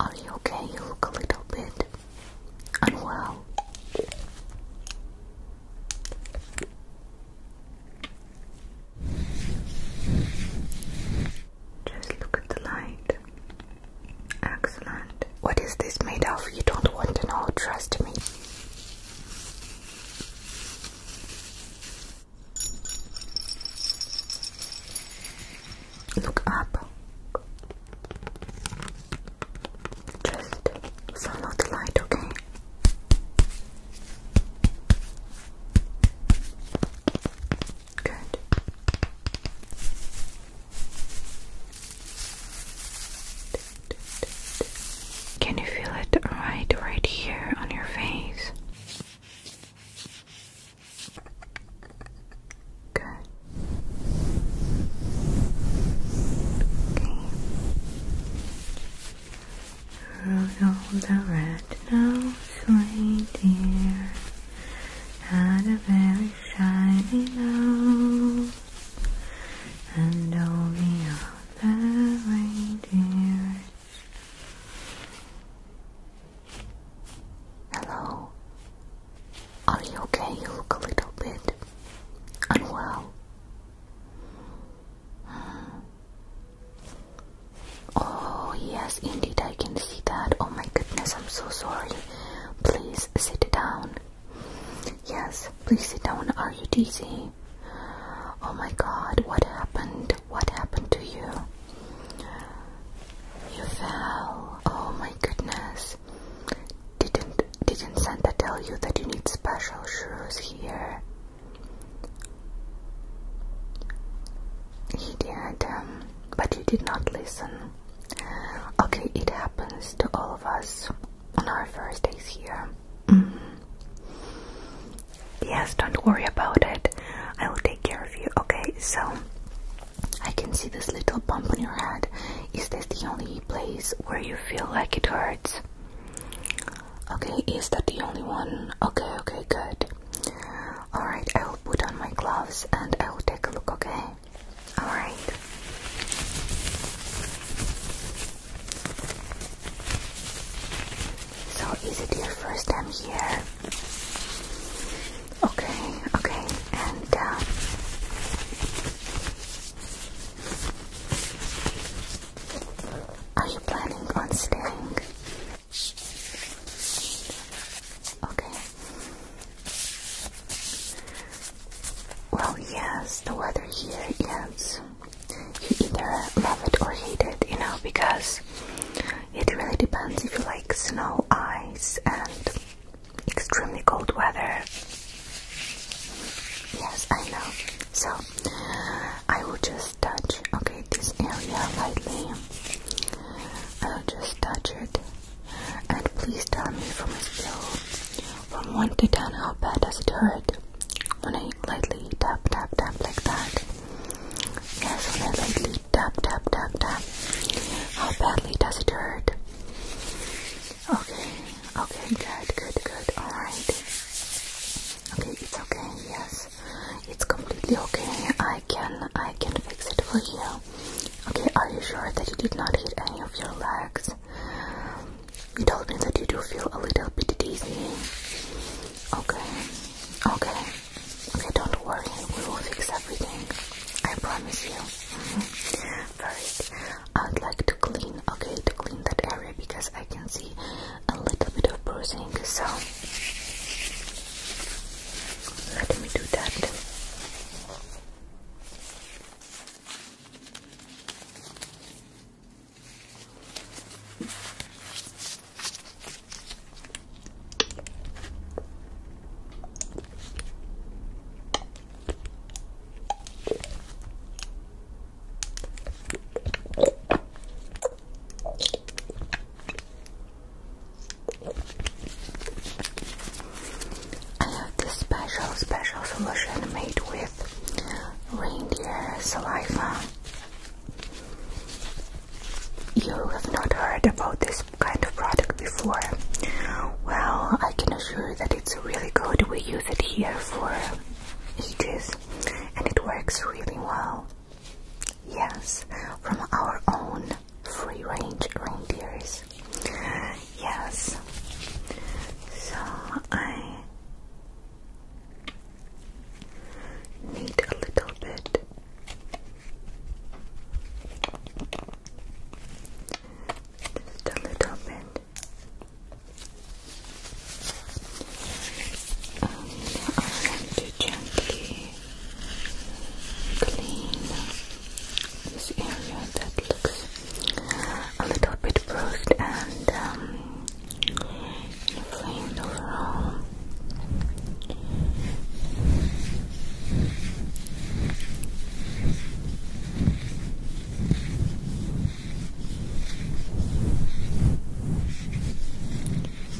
Are you okay? You look a little bit unwell. Just look at the light. Excellent. What is this made of? You don't want to know, trust me. Look up. Just follow the light, okay? Can you feel it right right here on your face? Good. Okay are shining out, and all the other reindeers. Hello. Are you okay? You look a little bit unwell. Oh, yes, indeed, I can see that. Oh my goodness, I'm so sorry. Please sit down. Yes, please sit down. Are you dizzy? Oh my god, what happened? What happened to you? You fell. Oh my goodness. Didn't didn't Santa tell you that you need special shoes here? He did, um, but you did not listen. Okay, it happens to all of us on our first days here. Mm. Yes, don't worry about it. I will take care of you. Okay, so I can see this little bump on your head. Is this the only place where you feel like it hurts? Okay, is that the only one? Okay, okay, good. Alright, I will put on my gloves and I will take a look, okay? Alright. So, is it your first time here? Okay, okay, and uh, are you planning on staying? Okay, well, yes, the weather here here is. You either love it or hate it, you know, because it really depends if you like snow, ice, and extremely cold weather. Yes, I know. So, I will just touch, okay, this area lightly. I'll just touch it and please tell me from a from 1 to 10 how bad does it hurt when I lightly tap, tap, tap like that. Yes, when I lightly tap, tap, tap, tap. How badly does it hurt? Okay, okay, good, good, good. Alright. Okay, it's okay, yes. It's completely okay. I can I can fix it for you. Okay, are you sure that you did not hit any of your legs? You told me that you do feel a little bit dizzy. Okay, okay, okay, don't worry, we will fix everything. I promise you. First, I would like to clean, okay, to clean that area because I can see a little bit of bruising. So, let me do that. I have this special, special solution made with reindeer saliva. You have not heard about this kind of product before. Well, I can assure you that it's really good. We use it here for ages and it works really well. Yes, from our own free range reindeers. Yes. So I need a little bit just a little bit and I want to gently clean this area that looks a little bit bruised and um, inflamed overall.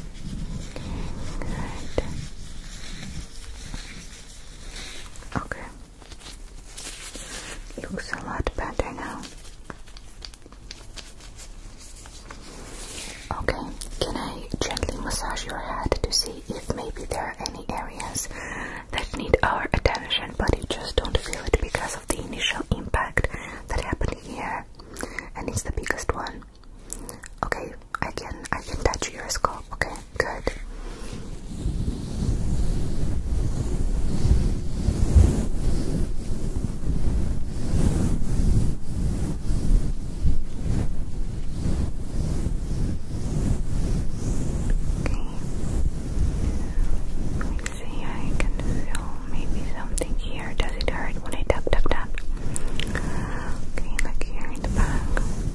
Good. Okay. Looks a lot better now. Okay, can I gently massage your head to see if maybe there are any areas that need our attention but you just don't feel it because of the initial impact that happened here and it's the biggest one. Okay, I can I can touch your scalp. Okay, good. Okay. Let me see. I can feel maybe something here. Does it hurt when I tap tap tap? Okay, look here in the back. Okay.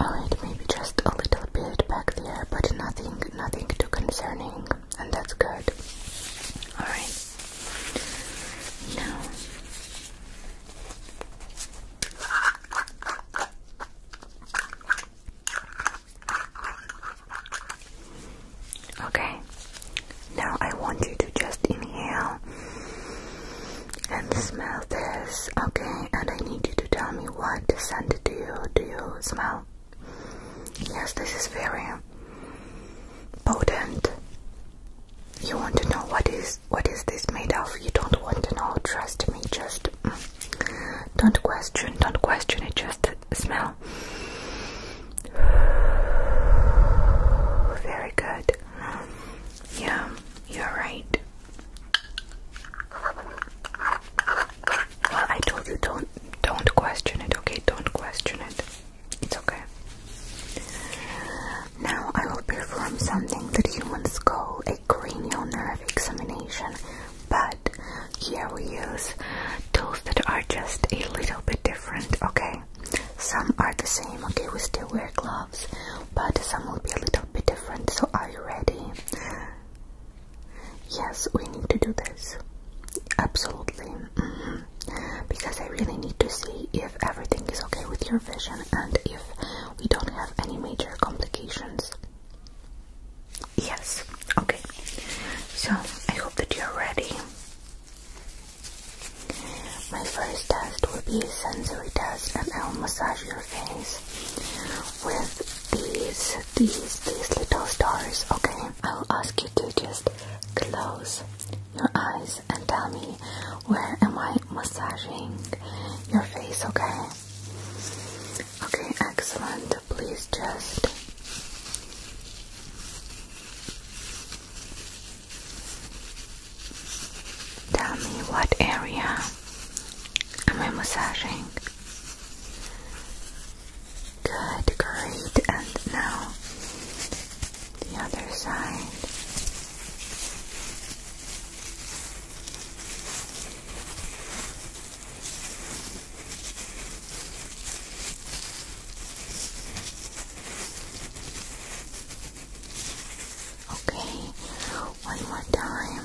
Alright, maybe just a little bit back there, but nothing nothing too concerning, and that's good. Alright. Now Okay, now I want you to just inhale and smell this, okay? And I need you to tell me what scent do you do you smell? Yes, this is very potent. You want to know what is what is this made of? You don't want to know, trust me, just mm, don't question, don't question it, just smell Very good. Yeah, you're right. Well, I told you don't don't question it, okay? Don't question it. It's okay. Now I will perform something that humans call a cranial nerve examination, but here we use tools that are just a little bit different, okay? Some are the same, okay? We still wear gloves, but some will be a little bit different. So, are you ready? Yes, we need to do this. Absolutely. Mm-hmm. Because I really need to see if everything is okay with your vision and if we don't have any major complications. Yes. Okay. So I hope that you're ready. My first test will be a sensory test, and I'll massage your face with these, these, these little stars. Okay. I'll ask you to just close your eyes and tell me where am I massaging your face. Okay. Okay. Excellent please just tell me what area i am massaging? Good, great, and now the other side. Okay, one more time. Okay.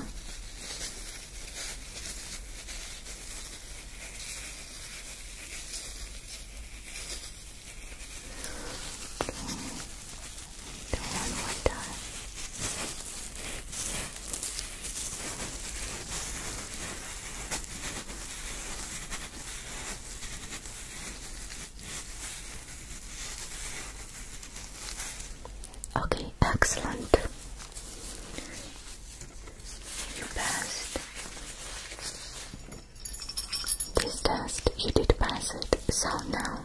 Do one more time. Okay, excellent. You passed this test, you did pass it. So now,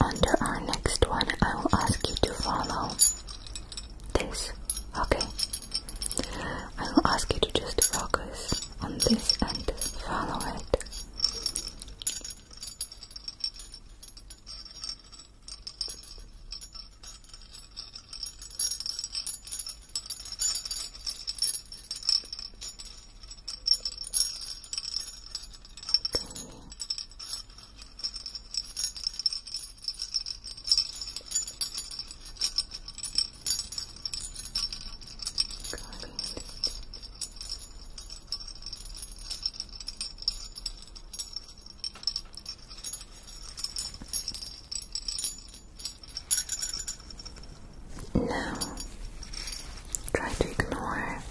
under our next one, I will ask you to follow this. Okay. I will ask you to just focus on this and follow it. Now, try to ignore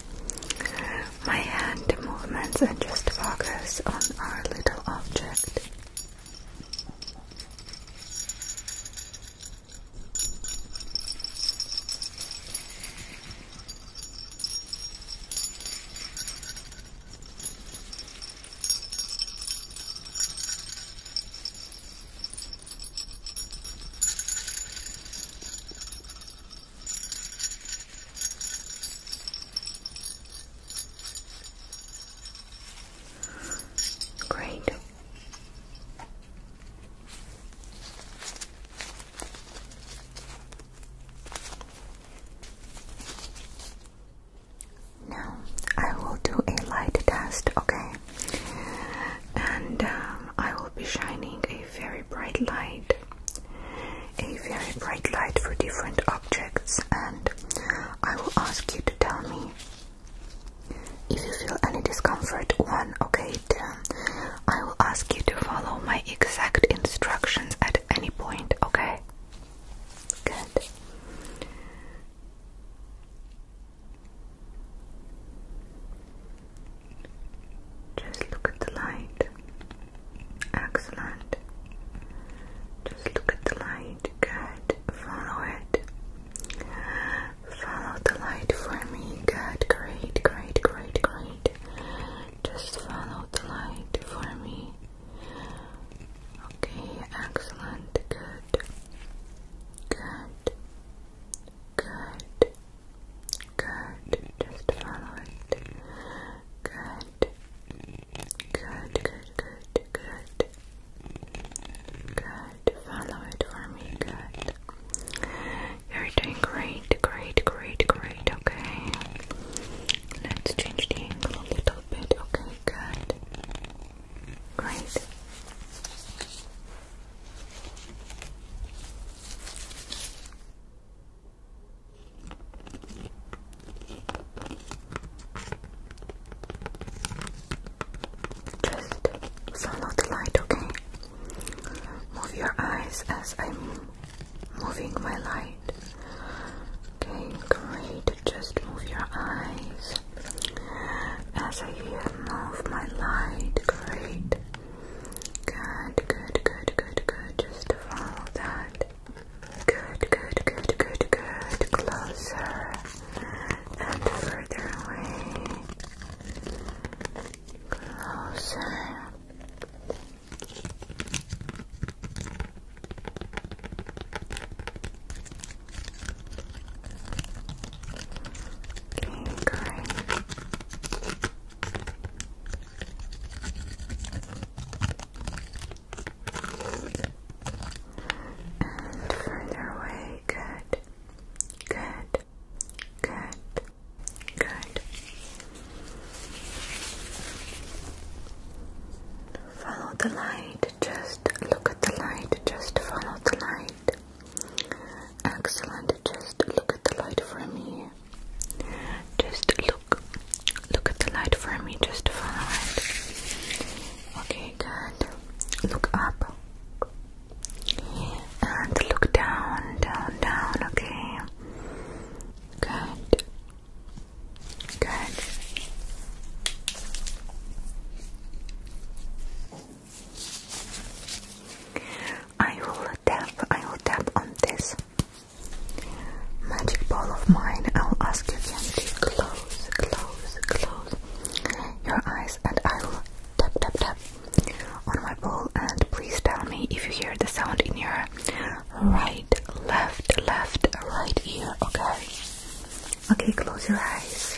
my hand movements and just focus on our little object. Great. Now I will do a light test, okay? And um, I will be shining a very bright light a very bright light for different objects, and I will ask you to tell me if you feel any discomfort. One, okay, two, I will ask you to follow my exact instructions at any point, okay? Good. Just look at the light. Excellent. Just look at the light. Good. Follow it. Follow the light for me. Good. Great, great, great, great. Just follow the light for me. Okay, excellent. Good. Good. Good. Good. Just follow it. Good. Good, good, good, good. Good. Follow it for me. Good. You're doing great, great, great, great. Okay. Let's change the angle a little bit. Okay, good. Great. Just follow the light, okay? Move your eyes as I'm moving my light. Okay, great. Just move your eyes as I move my light. Great. Good, good, good, good, good. Just follow that. Good. Good, good, good, good, Closer and further away. Closer. Okay, great further away, good, good, good, good. Follow the light, just look at the light, just follow the light. Excellent, just look at the light from here. Just look, look at the light for me. Just follow it. Okay, good. Look up and look down, down, down. Okay, good, good. I will tap. I will tap on this. Magic ball of mine, I'll ask you again to close, close, close your eyes and I'll tap, tap, tap on my ball and please tell me if you hear the sound in your right, left, left, right ear, okay? Okay, close your eyes.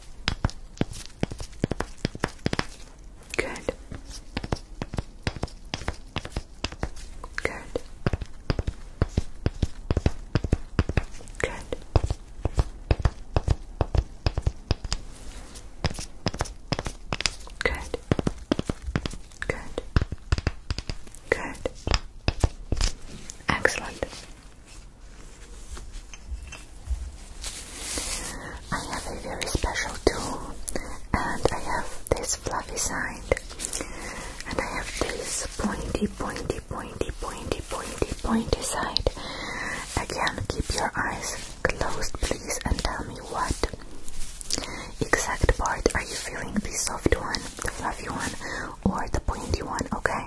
Good. Good. Good. Good. Good. Good. Excellent. I have a very special tool, and I have this fluffy side, and I have this pointy, pointy, pointy, pointy, pointy, pointy side. Again, keep your eyes closed, please, and tell me what exact part are you feeling? The soft one, the fluffy one, or the pointy one? Okay.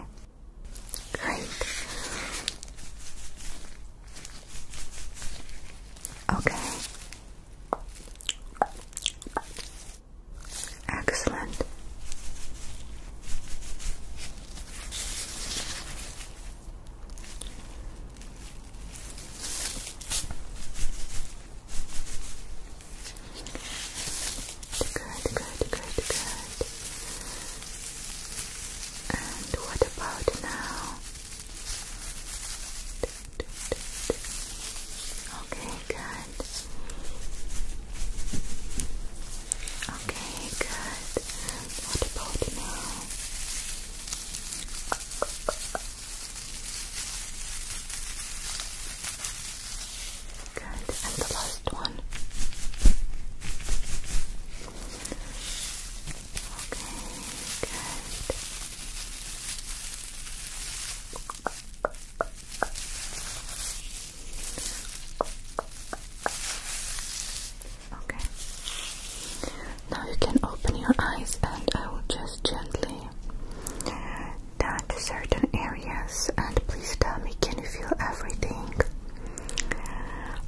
Great. Okay. Excellent. Good, good, good, good. And what about now? Okay, good. Okay, good. What about now? Good. And the last one. Okay, good. Okay. Now you can open your eyes and I will just gently touch certain areas. Yes, and please tell me can you feel everything?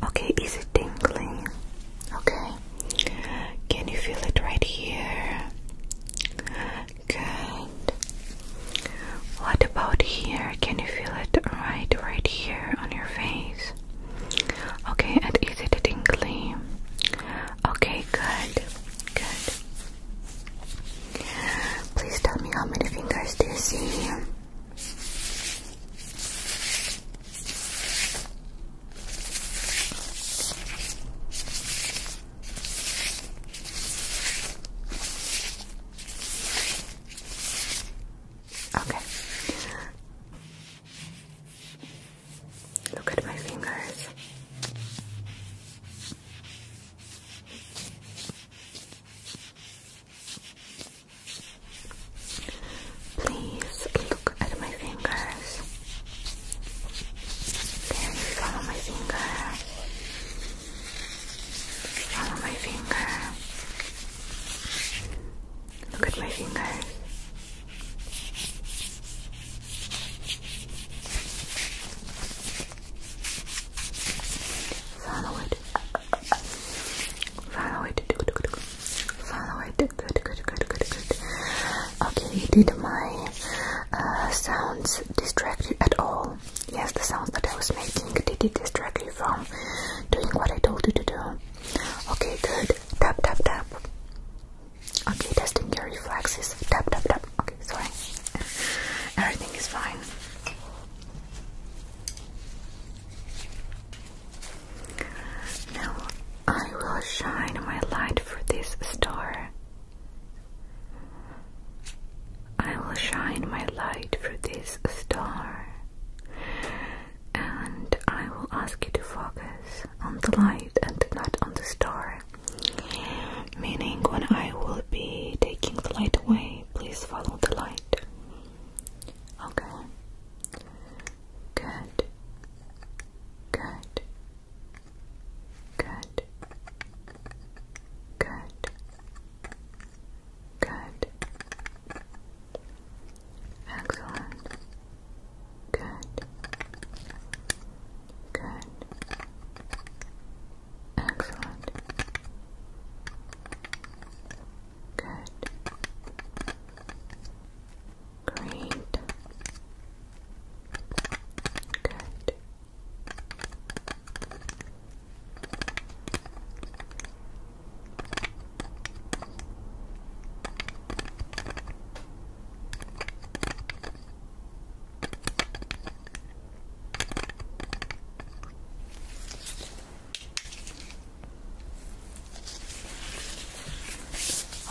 Okay, is it tingling? Okay. Can you feel it right here? Good. What about here? Can you feel it right right here on your face? Okay, and is it tingling? Okay, good. Good. Please tell me how many fingers do you see? Okay. Look at my fingers. Please look at my fingers. Then follow my finger. Follow my finger. Look at my fingers. Follow it. Follow it. Good, good, good. Follow it. Good, good, good, good, good. Okay, did my uh, sounds distract you at all? Yes, the sounds that I was making, did it distract you from doing what I told you to do? Okay, good. Tap, tap, tap. Okay, testing your reflexes. Tap, tap, tap. Okay, sorry. Everything is fine. Now I will shine my light for this star. I will shine my light for this star. And I will ask you to focus on the light and not on the star. Meaning, when I will be taking the light away, please follow the light. Okay. Good. Good. Good. Good. Good. Excellent. Good. Good. Excellent. Good. Great. Good.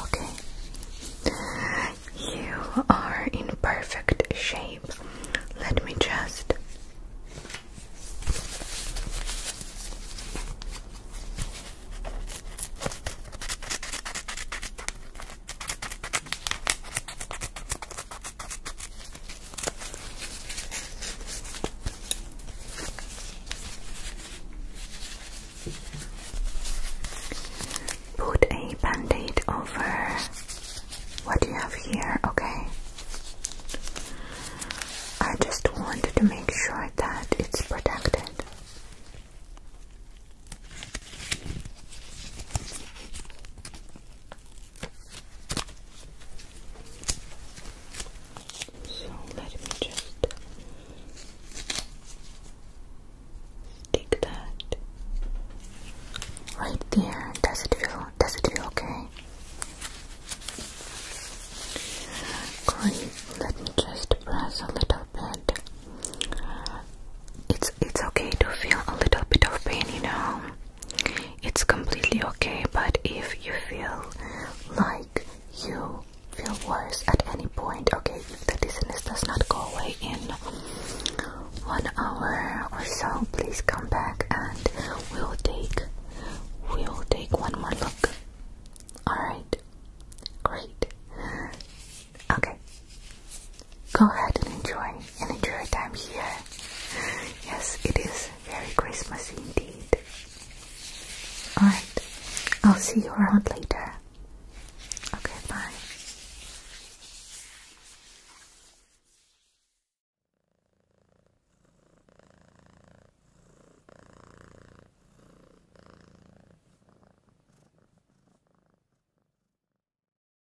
Okay, you are in perfect shape. Let me just. Put a band over what you have here, okay? I just wanted to make sure that it's protected. So let me just stick that right there. Does it feel does it feel okay? Great, let me just press a little bit. It's it's okay to feel a little bit of pain, you know. It's completely okay, but if you feel like you feel worse at any point, okay, if the dizziness does not go away in one hour or so, please come back and we'll take we'll take one more look. Alright. Great. Okay. Go ahead and enjoy and enjoy your time here. Yes, it is very Christmassy indeed. Alright, I'll see you around later. Okay, bye.